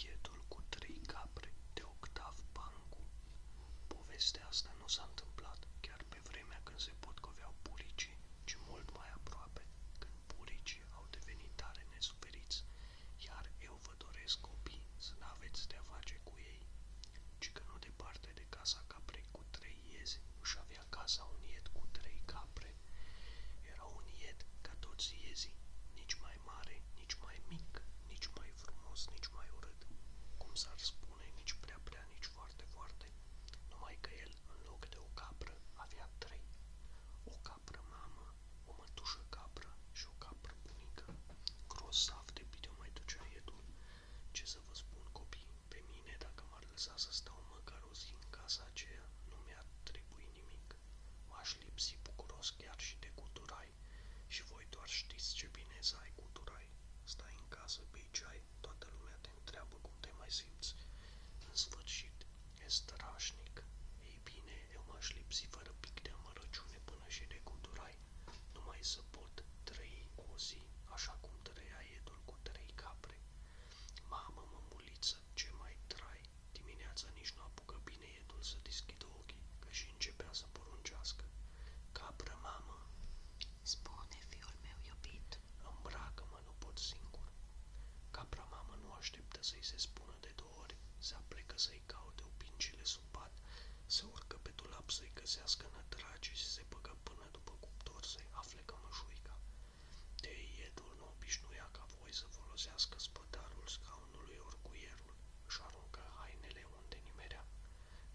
Iedul cu trei capre de Octav Pancu Povestea asta nu s-a întâmplat chiar pe vremea când se potcoveau buricii, ci mult mai aproape, când buricii au devenit tare nesuferiți, iar eu vă doresc copii să n-aveți de-a face cu ei, ci că nu departe de casa caprei cu trei iezi își avea casa un ied cu trei capre. Era un ied ca toți iezii, nici mai mai mare, nici mai mic, nici mai frumos, nici mai urât, cum s-ar spune, nici prea prea, nici foarte foarte, numai că el, în loc de o capră, avea trei. O capră mamă, o mătușă capră și o capră bunică. Grosav de bine mai ducea Edu. Ce să vă spun, copii, pe mine, dacă m-ar lăsa să stau măcar o zi în casa aceea, nu mi-ar trebui nimic. M-aș lipsi bucuros chiar și de guturai. Și voi doar știți ce bine să ai guturai. Stai în casă, bei ceai, toată lumea te întreabă cum te mai simți. În sfârșit, e strașnic. Ei bine, eu m-aș lipsi fără pic de amărăciune până și de guturai, numai să pot trăi o zi așa cum trăia edul cu trei capre. Mamă, mămuliță, ce mai trai, Dimineața nici nu apucă bine iedul să deschidă ochii, că și începea să poruncească. Capră, mamă! Spune, fiul meu iubit! Îmbracă-mă, nu pot singur. Capra mamă nu așteptă să-i se spună de două ori, se aplecă să-i caute opincile sub pat, se urcă pe dulap să-i găsească nătragii și se băgă până după cuptor să-i afle cămășuica. De edul nu obișnuia ca voi să folosească spătarul ca scaunului orguierul, își aruncă hainele unde nimerea.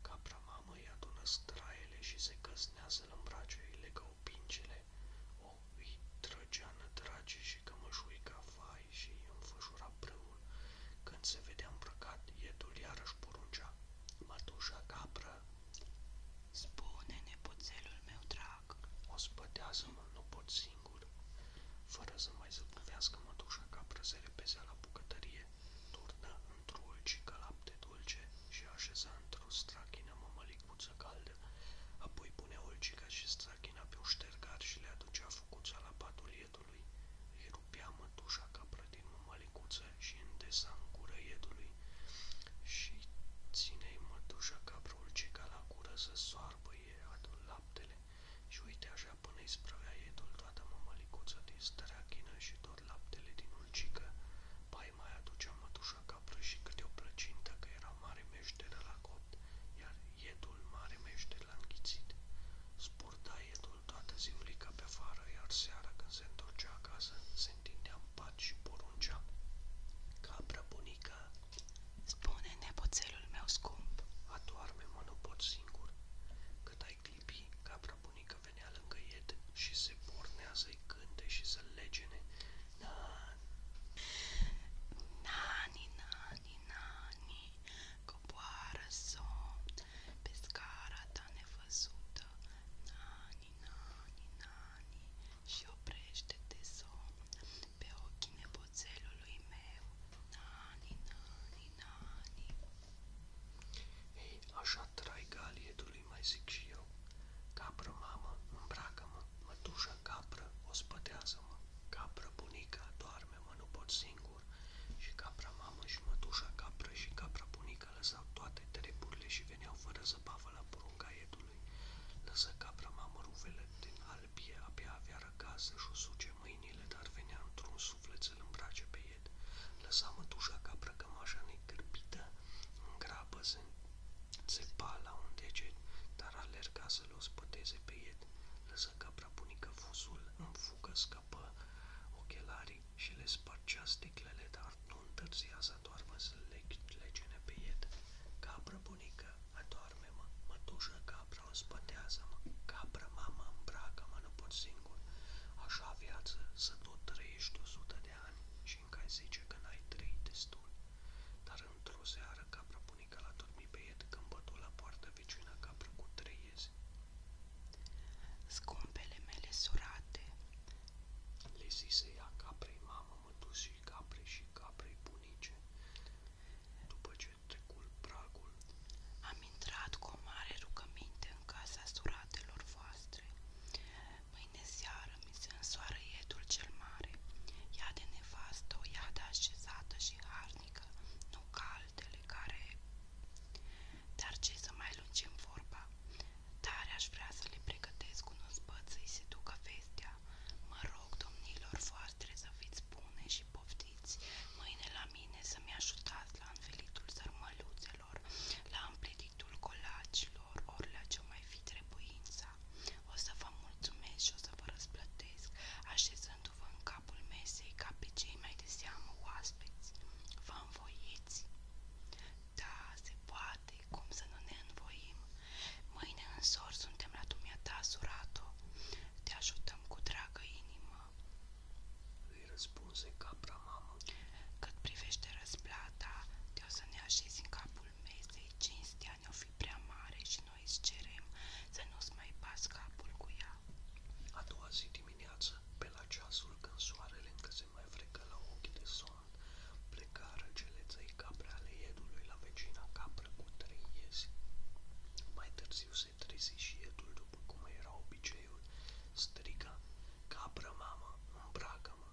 Capra mamă îi adună straele și se căsnează-l în brace, îi legă opincile, o îi trăgea nădrage și cămășuica fai și îi înfășura brâul. Când se vedea îmbrăcat, iedul iarăși poruncea. Mătușa capră, spune nepoțelul meu drag, sărac, ospătează-mă singur. Fără să mai zăbuvească mătușa ca prăzere pe la bucătărie, turnă într-o ulcică dulce și așeza într-o strachină mămălicuță caldă, apoi pune olcica și strachina pe un ștergar și le aducea făcuța la patul iedului. Îi rupea mătușa capră din mămălicuță și îndesa în gură iedului și ținei mătușa capră olcica la gură să soarbă iadul laptele și uite așa până îi sprăvea iedul toată mămălicuța din strachină și tot laptele din ulcică. Pai mai aducea mătușa capră și câte o plăcintă că era mare meșteră la copt, iar iedul mare meșter l-a înghițit. Spurta iedul toată ziulica pe afară, iar seara când se întorcea acasă, se întindea în pat și poruncea. Capra bunica, Spune, nepoțelul meu scump. Atoarme-mă, nu pot singur. Cât ai clipi, capra bunică venea lângă ied și se pornea să-i cânte și să legene. Nan. Nani, nani, nani, coboară somn pe scara ta nevăzută. Nani, nani, nani, și oprește-te somn pe ochii nepoțelului meu, Nani, Nani, Nani. Ei, așa trai galietului, mai zic și eu. Capră, mamă, îmbracă-mă, mătușă, ospătează-mă, capră, bunica, doarme-mă, nu pot singur. Și capra mamă și mătușa capră și capra bunica lăsau toate treburile și veneau fără zăbavă la porunca iedului. capra mamă rufele din albie, abia avea acasă și-o suce mâinile, dar venea într-un suflet să-l îmbrace pe el. Lăsa mătușa ca brăcămașa în grabă se, se la un deget, dar alerga să-l ospăteze pe el. Lăsă capra fusul, în fugă scăpă ochelarii și le spargea sticlele, dar nu întârzia să doarmă să le legene pe el. Capra bunică Adorme-mă, mătușă capra, înspătează-mă, capra, mama, îmbracă-mă, nu pot singur. Așa viață să tot trăiești o sută de ani și încă ai zice că n-ai trăit destul. Dar într-o seară capra bunica l-a dormit pe ied când bătu la poartă vecina capra cu trei iezi. Scumpele mele surate, le zise ea caprei mamă, mătușii, caprei și caprei bunice, după ce trecul pragul, am intrat cu o mare rugăminte în casa suratelor voastre. Mâine seară mi se însoară iedul cel mare, ea de nevastă, o iadă așezată și harnică, nu ca altele care... Dar ce să mai lungim vorba? Tare aș vrea să le pregătesc un ospăț să-i se ducă vestea. Mă rog, domnilor voastre, să fiți bune și poftiți mâine la mine să-mi ajutați la învelitul sărmăluțelor, la împletitul colacilor, ori la ce mai fi trebuința. O să vă mulțumesc și o să vă răsplătesc, așezându-vă în capul mesei ca pe cei mai de seamă oaspeți. Vă învoiți? Da, se poate, cum să nu ne învoim? Mâine în sor suntem la dumneata, surato. Te ajutăm cu dragă inimă. Îi răspunse capra mamă. Cât privește răsplata, te o să ne așezi în capul mesei. Cinstea ne-o fi prea mare și noi îți cerem să nu-ți mai pas capul cu ea. A doua zi dimineață, pe la ceasul când soarele încă se mai frecă la ochi de somn, plecară cele trei capre ale iedului la vecina capră cu trei iezi. Mai târziu se trezi și iedul, după cum era obiceiul, striga, capră mamă, îmbracă-mă,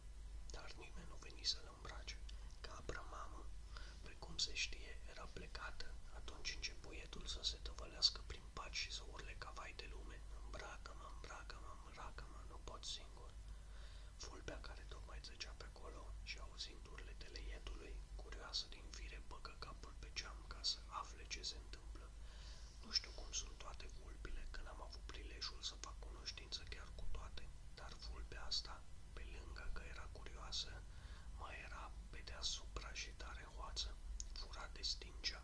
dar nimeni nu veni să-l îmbrace. Capră mamă, precum se știe, era plecată, atunci începu iedul să se tăvălească prin paci și să urle ca vai de lume, îmbracă-mă, îmbracă-mă, îmbracă-mă, nu pot singur. Fulbea care tocmai trecea pe acolo și auzind urletele ietului, curioasă din fire băgă capul pe geam ca să afle ce se întâmplă. Nu știu cum sunt toate vulpile, că n-am avut prilejul să fac cunoștință chiar cu toate, dar vulpea asta, pe lângă că era curioasă, mai era pe deasupra și tare hoață, fura de stingea.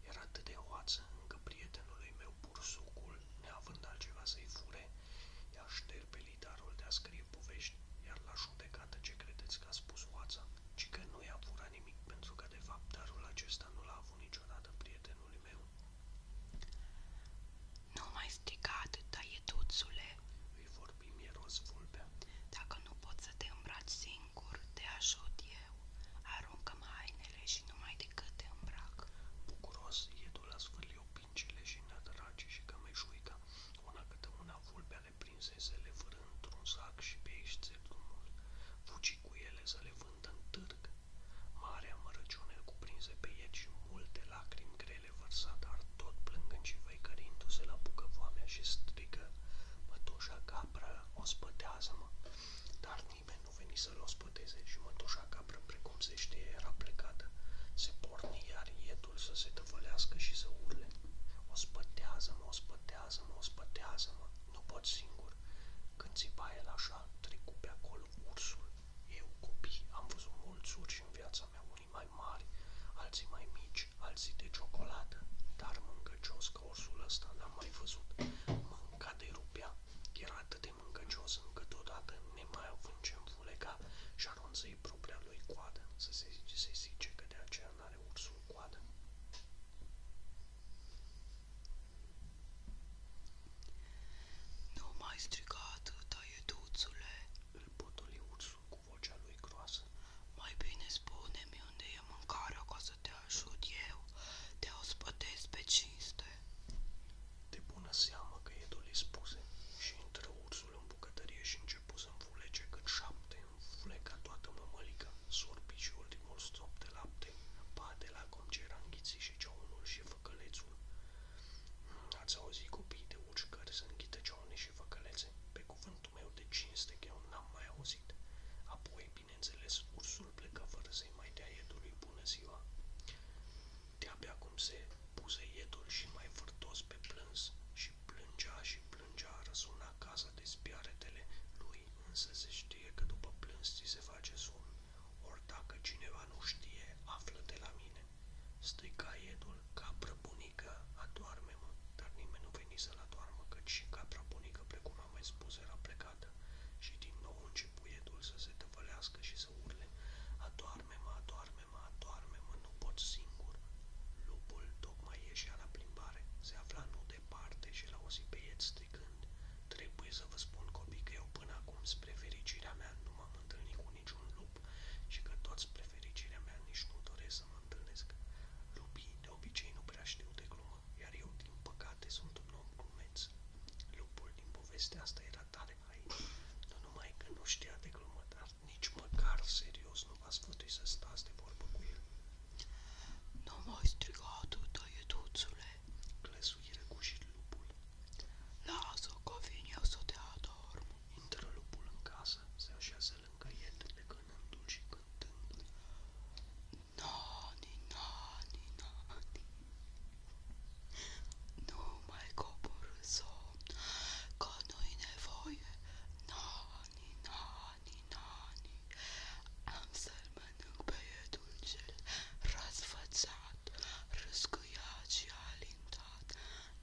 Era atât de hoață încă prietenului meu bursucul, neavând altceva să-i fure, i-a șterpelit arul de-a scrie scrie povești, iar la judecată ce credeți că a spus Oața, ci că nu i-a furat nimic, pentru că de fapt darul acesta nu l-a avut niciodată prietenul meu. Nu mai striga atâta, ietuțule, îi vorbi mieros vulpea. Dacă nu poți să te îmbraci singur, te ajut eu. Aruncă-mă hainele și numai decât te îmbrac. Bucuros, ietul a sfârlit opincile și nădrage și cămeșuica una câte una vulpea le prinse le fără într-un sac și pe aici drumul. Fugi cu ele să le vândă în târg. Marea mărăciune cuprinse pe ei și multe lacrimi grele vărsat, dar tot plângând și văicărindu-se la bucă foamea și strigă. Mătușa capră, ospătează-mă! Dar nimeni nu veni să-l ospăteze și mătușa capră, precum frunzește era plecată. Se porni iar ietul să se tăvălească și să urle. O spătează-mă, o spătează-mă, o spătează-mă, nu pot singur. Când țipa el așa, trecu pe acolo ursul. Eu, copii, am văzut mulți urși în viața mea, unii mai mari, alții mai mici, alții de ciocolată. Dar mâncăcios ca ursul ăsta l-am mai văzut. Mânca de rupea, era atât de mâncăcios încât odată, nemai având ce muleca și anunță-i propria lui coadă, să se, se zice că de aceea n-are ursul coadă. Nu mai striga atâta, ieduțule, îl potoli ursul cu vocea lui groasă. Mai bine spune-mi unde e mâncarea ca să te ajut eu, te ospătez pe cinste. De bună seamă că Edul îi spuse și intră ursul ursul în bucătărie și începu să înfulece cât șapte, înfuleca toată mămălica, sorbi și ultimul strop de lapte, pate la cum ce era înghițit și ceaunul și făcălețul. Ați auzit copiii de ucigări să înghită ceaune și făcălețe? Pe cuvântul meu de cinste că eu n-am mai auzit. Apoi, bineînțeles, ursul plecă fără să-i mai dea iedului bună ziua. De-abia cum se puse iedul și mai vârtos pe plâns și plângea și plângea, răsuna casa de spiaretele lui, însă se știe că după plâns ți se face somn, ori dacă cineva nu știe, află de la mine. Striga iedul, capră bunică, adoarme-mă, dar nimeni nu veni să-l adoarmă, căci și capra bunică, precum am mai spus, era plecată și din nou începu iedul să se tăvălească și să urle, adoarme-mă, adoarme Doarme-mă, doarme-mă, nu pot singur. Lupul tocmai ieșea la plimbare, se afla nu departe și l-a auzit pe el stricând. Trebuie să vă spun, copii, că eu până acum, spre fericirea mea, nu m-am întâlnit cu niciun lup și că tot spre fericirea mea nici nu doresc să mă întâlnesc. Lupii de obicei nu prea știu de glumă, iar eu, din păcate, sunt un om glumeț. Lupul din povestea asta era tare hain, nu numai că nu știa de glumă, dar nici măcar serios nu v-a sfătuit să stați de vorbă Nu mai striga tu, tăietuțule. Clesuire cu și lupul. Lasă că vin eu să te adorm. Intră lupul în casă, se așează lângă el, legănându-l și cântându-l. Nani, nani, nani, nu mai coborâ sol că nu-i nevoie. Nani, nani, nani, am să-l mănânc pe dulcel răsfățat, răscâiat și alintat.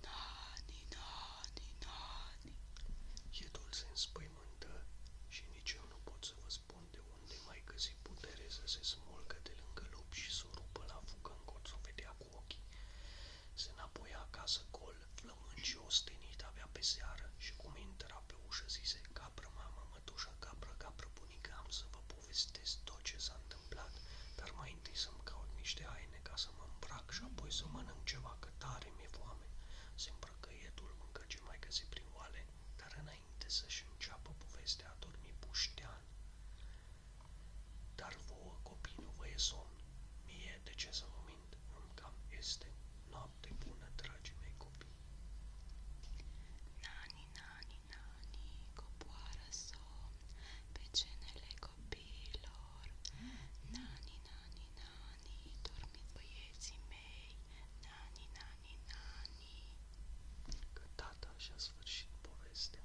Nani, nani, nani. E dulce înspăimântă și nici eu nu pot să vă spun de unde mai găsi putere să se smulgă de lângă lup și să o rupă la fugă în colț o vedea cu ochii. Se înapoia acasă gol, flămâncios, tinit avea pe și cum intra pe ușă zise Capră, mamă, mătușă, capră, capră, bunică, am să vă povestesc tot ce s-a întâmplat, dar mai întâi să-mi caut niște haine ca să mă îmbrac și apoi să mănânc ceva, că tare mi-e foame. Se îmbrăcă edul, mai găsi prin oale, dar înainte să-și înceapă povestea, a dormit puștea Dar vouă, copii, nu vă e somn. Mie de ce să vă mint? Îmi cam este noapte bună, dragii mei copii. Nani, nani, nani, copoară somn pe cenele copiilor. Nani, nani, nani, dormit băieții mei. Nani, nani, nani. Că tata și-a sfârșit povestea.